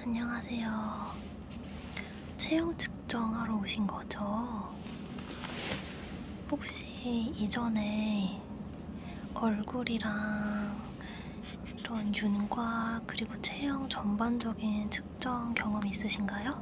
안녕하세요. 체형 측정하러 오신 거죠? 혹시 이전에 얼굴이랑 이런 윤곽 그리고 체형 전반적인 측정 경험 있으신가요?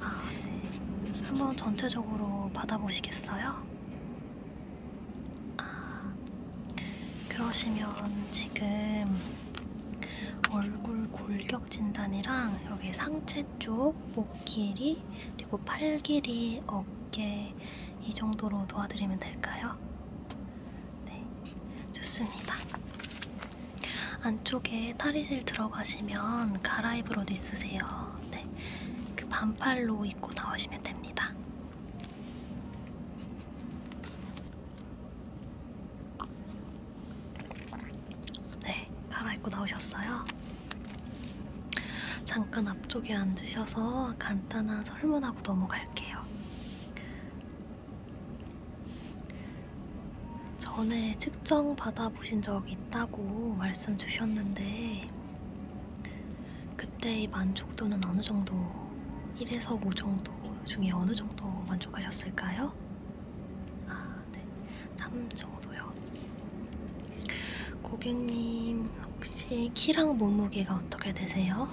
아, 네. 한번 전체적으로 받아보시겠어요? 아, 그러시면 지금 얼굴 골격 진단이랑 여기 상체 쪽, 목 길이, 그리고 팔 길이, 어깨 이 정도로 도와드리면 될까요? 네, 좋습니다. 안쪽에 탈의실 들어가시면 갈아입을 옷 있으세요. 네, 그 반팔로 입고 나오시면 됩니다. 네, 갈아입고 나오셨어요. 잠깐 앞쪽에 앉으셔서 간단한 설문하고 넘어갈게요. 전에 측정 받아 알아보신 적이 있다고 말씀 주셨는데 그때의 만족도는 어느 정도 1에서 5 정도 중에 어느 정도 만족하셨을까요? 아, 네. 3 정도요. 고객님, 혹시 키랑 몸무게가 어떻게 되세요?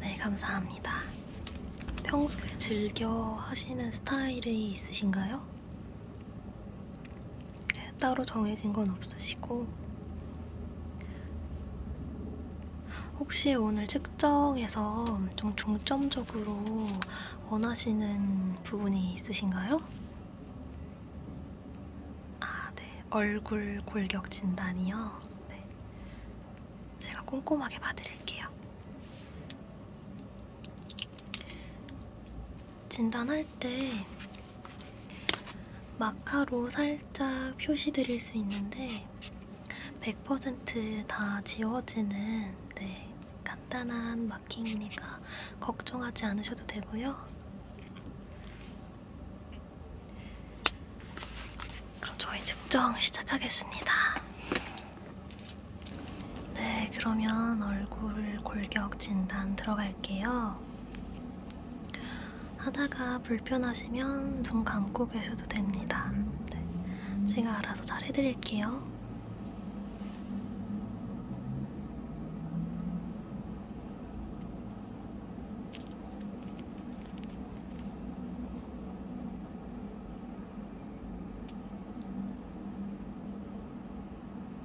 네, 감사합니다. 평소에 즐겨 하시는 스타일이 있으신가요? 따로 정해진 건 없으시고 혹시 오늘 측정에서 좀 중점적으로 원하시는 부분이 있으신가요? 아, 네. 얼굴 골격 진단이요. 네. 제가 꼼꼼하게 봐드릴게요. 진단할 때 마카로 살짝 표시 드릴 수 있는데 100%다 지워지는 네, 간단한 마킹이니까 걱정하지 않으셔도 되고요. 그럼 저희 측정 시작하겠습니다. 네, 그러면 얼굴 골격 진단 들어갈게요. 하다가 불편하시면 눈 감고 계셔도 됩니다. 네, 제가 알아서 잘 해드릴게요.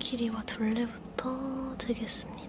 길이와 둘레부터 재겠습니다.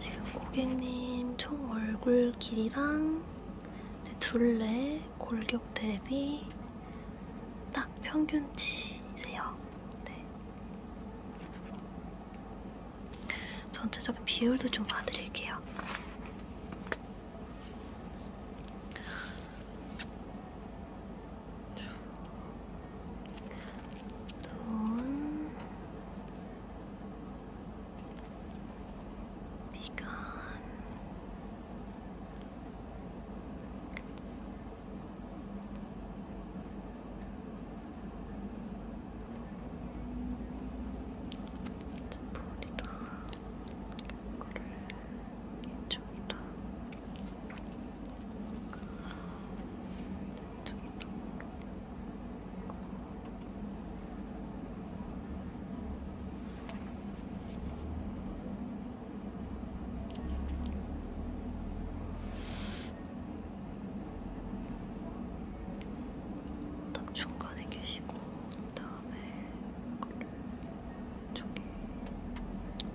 지금 네, 고객님 총 얼굴 길이랑 네, 둘레, 골격 대비 딱 평균치세요. 네. 전체적인 비율도 좀 봐드릴게요. 눈, 미간, 머리랑 이거를 이쪽이랑 딱 중간에 계시고 다음에 그걸 저기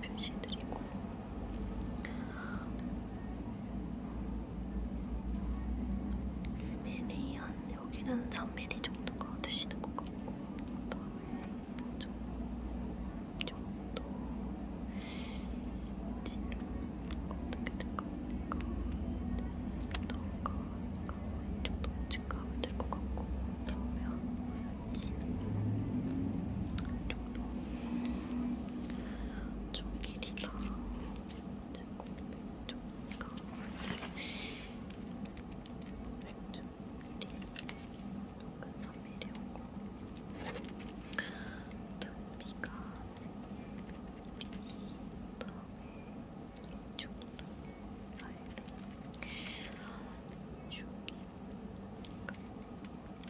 표시해드리고 미리 한 여기는 3mm 정도가 되시는 것 같고 그다음에 좀 정도 어떻게 될까요? 너가 이 정도 측가면 될것 같고 그러면 무슨 이 정도 좀 길이가 조금가 좀 길이 약간 3mm였고 두피가 그다음에 이쪽이랑 사이를 이쪽이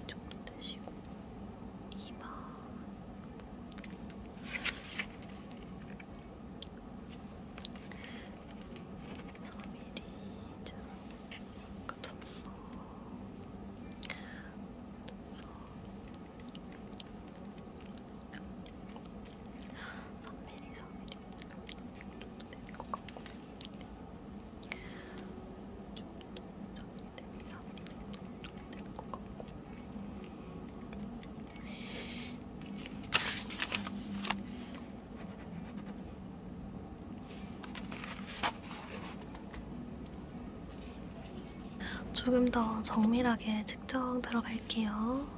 조금 드시고 이마 서밀이 좀 젖소 젖소 서밀이 서밀이 정도 되는 것 같고 조금 더 네. 조금 더 정밀하게 측정 들어갈게요.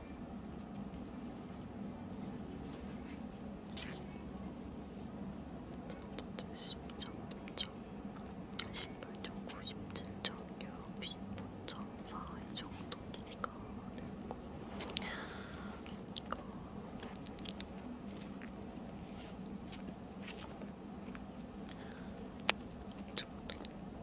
110점, 1점 18점, 97점, 65점, 4의 정도 길이가 되고 이거 정도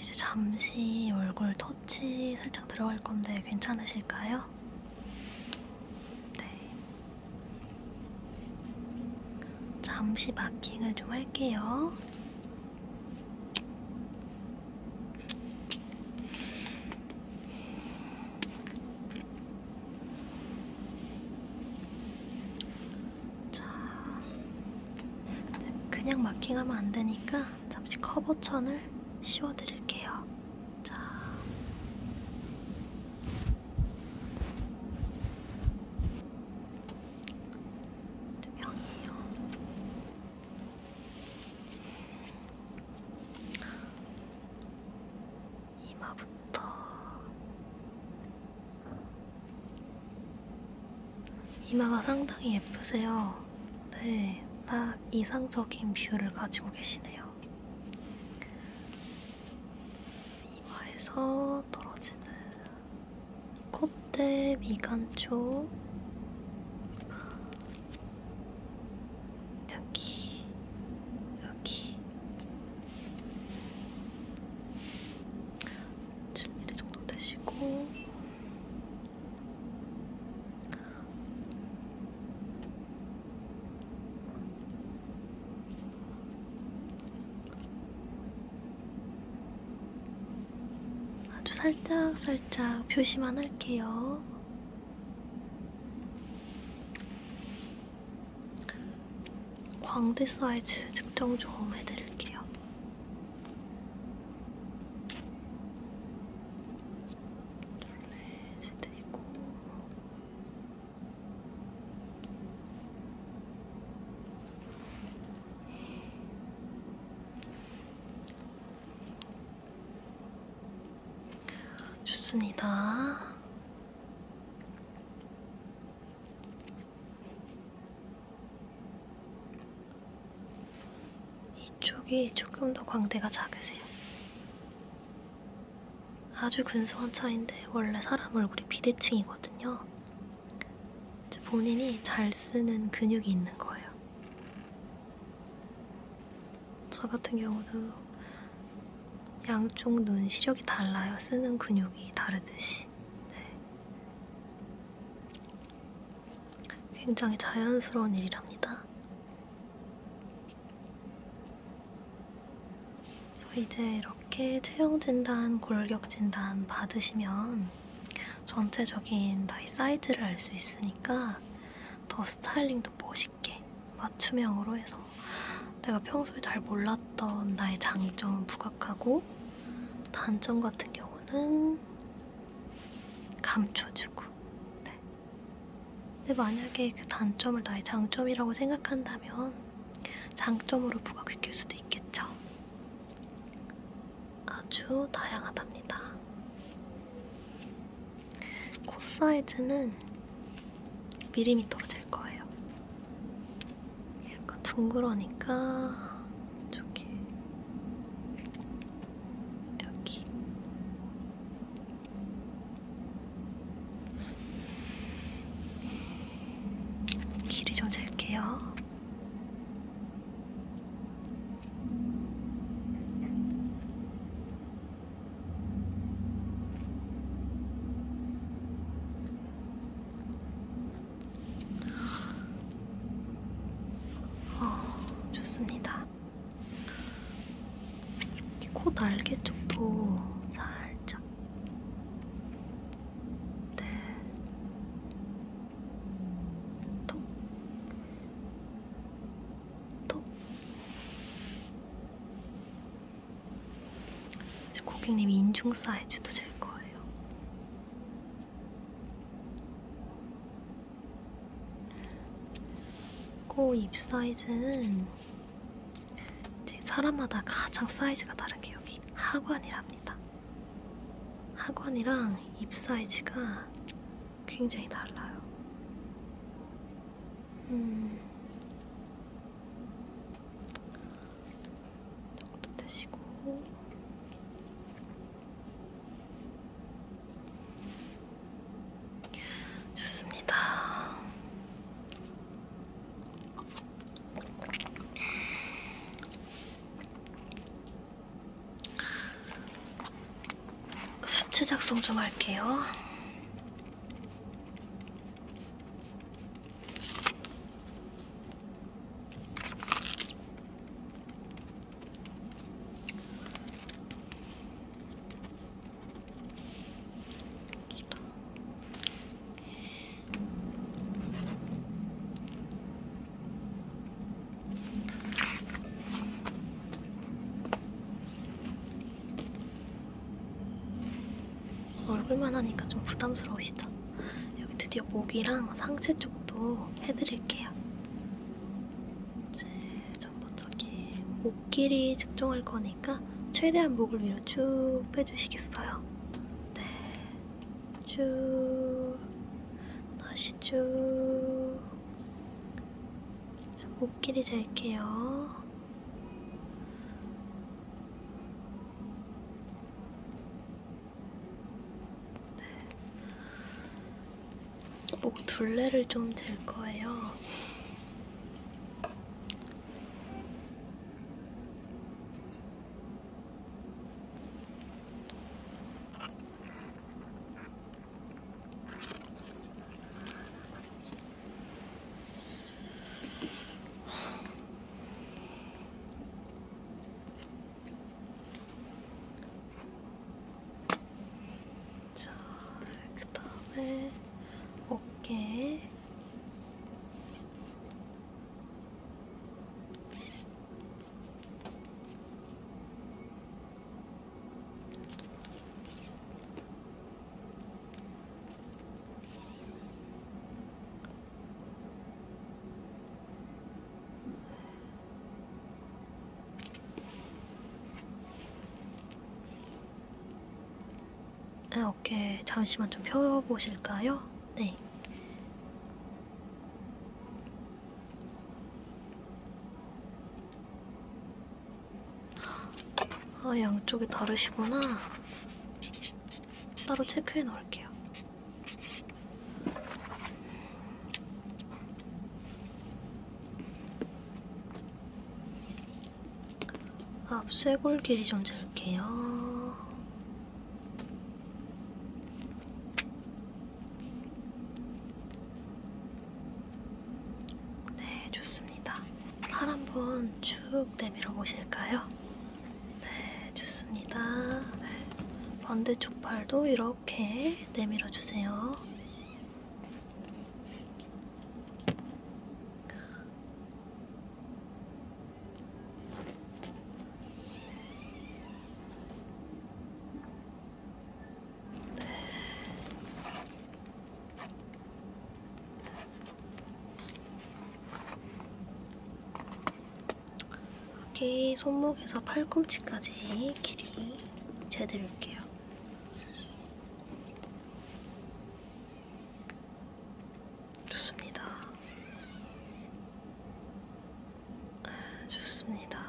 이제 잠시 얼굴 터치 살짝 들어갈 건데 괜찮으실까요? 네. 잠시 마킹을 좀 할게요. 자, 그냥 마킹하면 안 되니까 잠시 커버천을 씌워드릴게요. 자. 두 명이에요. 음. 이마부터 이마가 상당히 예쁘세요. 네, 딱 이상적인 뷰를 가지고 계시네요. 같아요. 이마에서 떨어지는 콧대 미간초 여기 여기 칠미리 정도 되시고 아주 살짝살짝 살짝 표시만 할게요. 광대 사이즈 측정 좀 해드릴게요. 둘레 세트 있고 좋습니다. 이쪽이 조금 더 광대가 작으세요. 아주 근소한 차인데 원래 사람 얼굴이 비대칭이거든요. 이제 본인이 잘 쓰는 근육이 있는 거예요. 저 같은 경우도 양쪽 눈 시력이 달라요. 쓰는 근육이 다르듯이. 네. 굉장히 자연스러운 일이랍니다. 이제 이렇게 체형진단, 골격진단 받으시면 전체적인 나의 사이즈를 알 수 있으니까 더 스타일링도 멋있게 맞춤형으로 해서 내가 평소에 잘 몰랐던 나의 장점 부각하고 단점 같은 경우는 감춰주고 네. 근데 만약에 그 단점을 나의 장점이라고 생각한다면 장점으로 부각시킬 수도 있겠죠. 아주 다양하답니다. 코 사이즈는 미리미터로 잴 거예요. 약간 둥그러니까 저기 여기 길이 좀 잴게요. 어, 좋습니다. 코 날개 쪽도 살짝 네. 톡. 톡. 이제 고객님이 인중 사이즈도 될 거예요. 코입 사이즈는 제 사람마다 가장 사이즈가 다른게 여기 하관이랍니다. 하관이랑 입 사이즈가 굉장히 달라요. 음. 정도 되시고 좋습니다. 수치 작성 좀 할게요. 얼굴만 하니까 좀 부담스러우시죠? 여기 드디어 목이랑 상체 쪽도 해드릴게요. 이제 전반적인 목 길이 측정할 거니까 최대한 목을 위로 쭉 빼주시겠어요? 네, 쭉 다시 쭉목 길이 잴게요. 네. 목 둘레를 좀 잴 거예요. 자, 그 다음에 어깨. 네, 어깨 잠시만 좀 펴보실까요? 네. 아, 양쪽이 다르시구나. 따로 체크해 놓을게요. 앞 쇄골 길이 좀 잴게요. 네, 좋습니다. 팔 한번 쭉 내밀어 보실까요? 네, 좋습니다. 네. 반대쪽 팔도 이렇게 이렇게 내밀어 주세요. 네. 이렇게 손목에서 팔꿈치까지 길이 재드릴게요. 좋습니다. 좋습니다.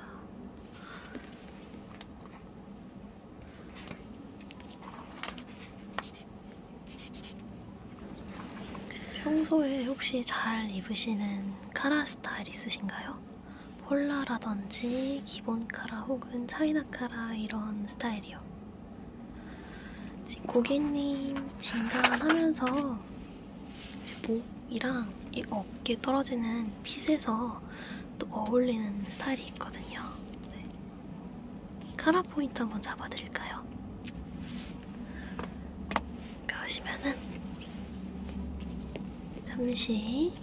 평소에 혹시 잘 입으시는 카라 스타일 있으신가요? 폴라라든지 기본카라 혹은 차이나카라 이런 스타일이요. 지금 고객님 진단하면서 이제 목이랑 이 어깨 떨어지는 핏에서 또 어울리는 스타일이 있거든요. 네. 카라 포인트 한번 잡아드릴까요? 그러시면은 잠시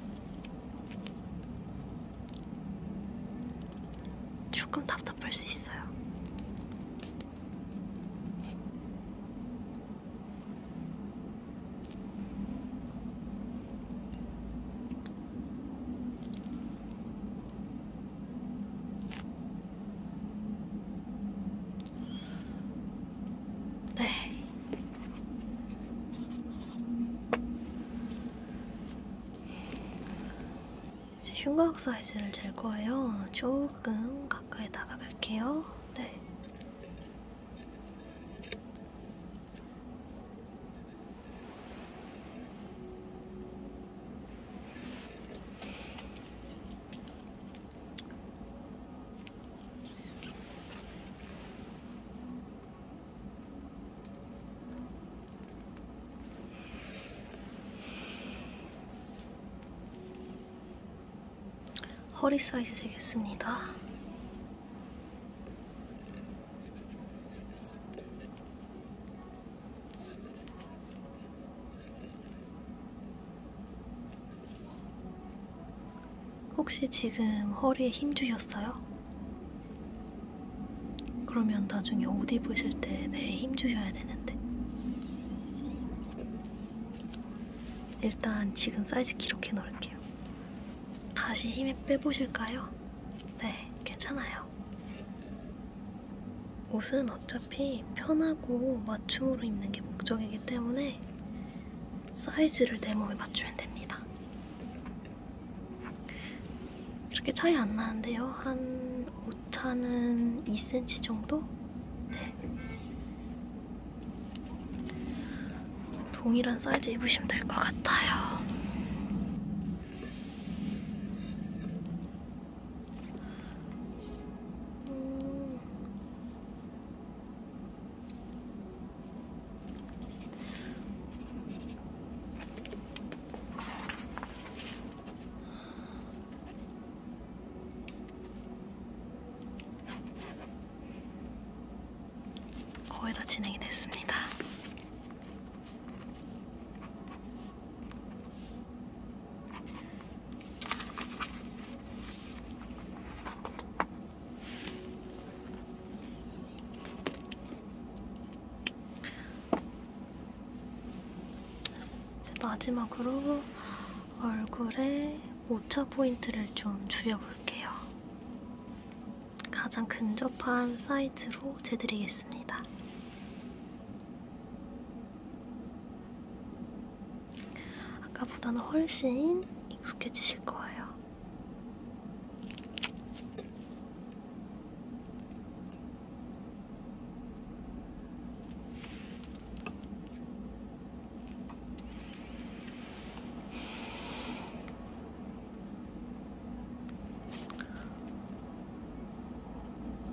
조금 답답할 수 있어요. 네. 이제 흉곽 사이즈를 잴 거예요. 조금 가까이 다가갈게요. 네. 허리 사이즈 재겠습니다. 혹시 지금 허리에 힘 주셨어요? 그러면 나중에 옷 입으실 때 배에 힘 주셔야 되는데. 일단 지금 사이즈 이렇게 넣을게요. 다시 힘에 빼보실까요? 네, 괜찮아요. 옷은 어차피 어차피 편하고 맞춤으로 입는 게 목적이기 때문에 사이즈를 내 몸에 맞추면 됩니다. 이렇게 차이 안 나는데요. 한 오차는 2cm 정도? 네. 동일한 사이즈 입으시면 될 것 같아요. 음. 거의 다 진행이 됐습니다. 이제 마지막으로 얼굴에 모차 포인트를 좀 줄여볼게요. 가장 근접한 사이즈로 재드리겠습니다. 아까보다는 훨씬 익숙해지실 거예요.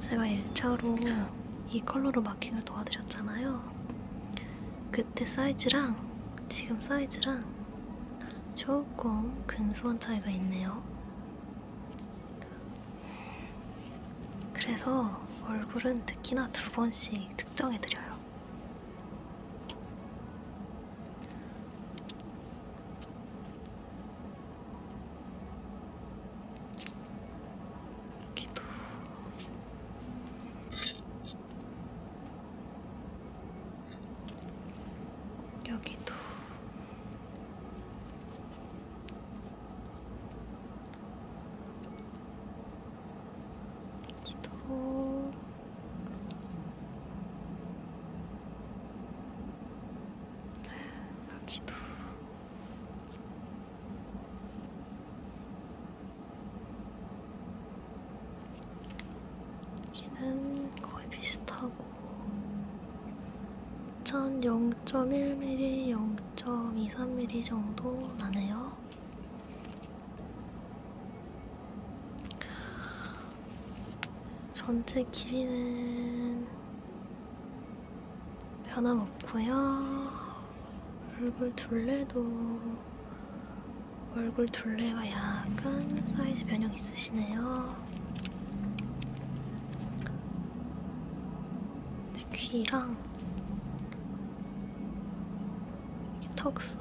제가 1차로 이 컬러로 마킹을 도와드렸잖아요. 그때 사이즈랑 지금 사이즈랑 조금 근소한 차이가 있네요. 그래서 얼굴은 특히나 두 번씩 측정해드려요. 여기도 여기도 여기도 여기도 여기는 거의 비슷하고 전 0.1mm, 0.23mm 정도 나네요. 전체 길이는 변함없고요. 얼굴 둘레도 얼굴 둘레와 약간 사이즈 변형 있으시네요. 귀랑 턱선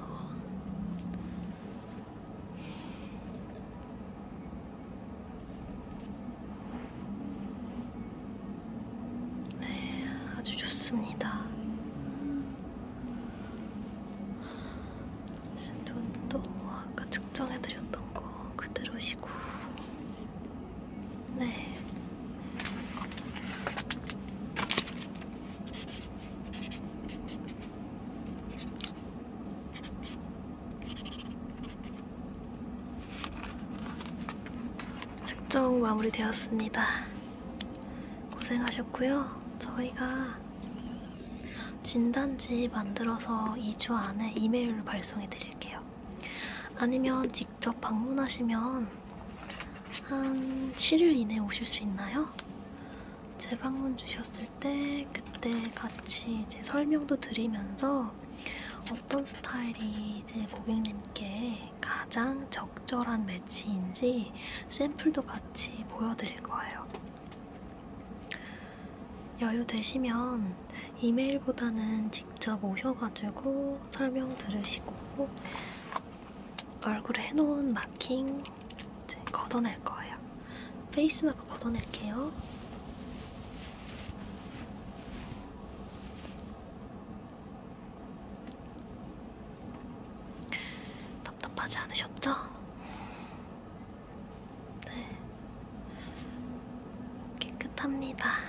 네, 아주 좋습니다. 신돈도 아까 측정해드렸던 거 그대로시고, 네. 특종 마무리되었습니다. 고생하셨고요. 저희가 진단지 만들어서 2주 안에 이메일로 발송해 드릴게요. 아니면 직접 방문하시면 한 7일 이내에 오실 수 있나요? 재방문 주셨을 때 그때 같이 이제 설명도 드리면서 어떤 스타일이 이제 고객님께 가장 적절한 매치인지 샘플도 같이 보여드릴 거예요. 여유 되시면 이메일보다는 직접 오셔가지고 설명 들으시고 얼굴에 해놓은 마킹 이제 걷어낼 거예요. 페이스 마크 걷어낼게요. 답답하지 않으셨죠? 네. 깨끗합니다.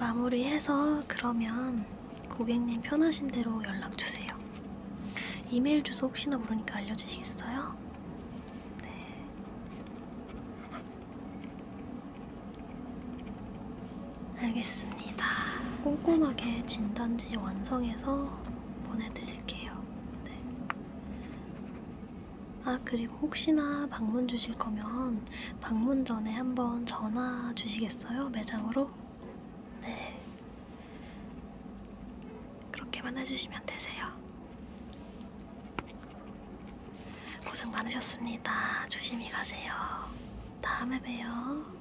마무리해서 그러면 고객님 편하신 대로 연락 주세요. 이메일 주소 혹시나 모르니까 알려주시겠어요? 네. 알겠습니다. 꼼꼼하게 진단지 완성해서 보내드릴게요. 네. 아, 그리고 혹시나 방문 주실 거면 방문 전에 한번 전화 주시겠어요? 매장으로? 네. 그렇게만 해주시면 되세요. 고생 많으셨습니다. 조심히 가세요. 다음에 봬요.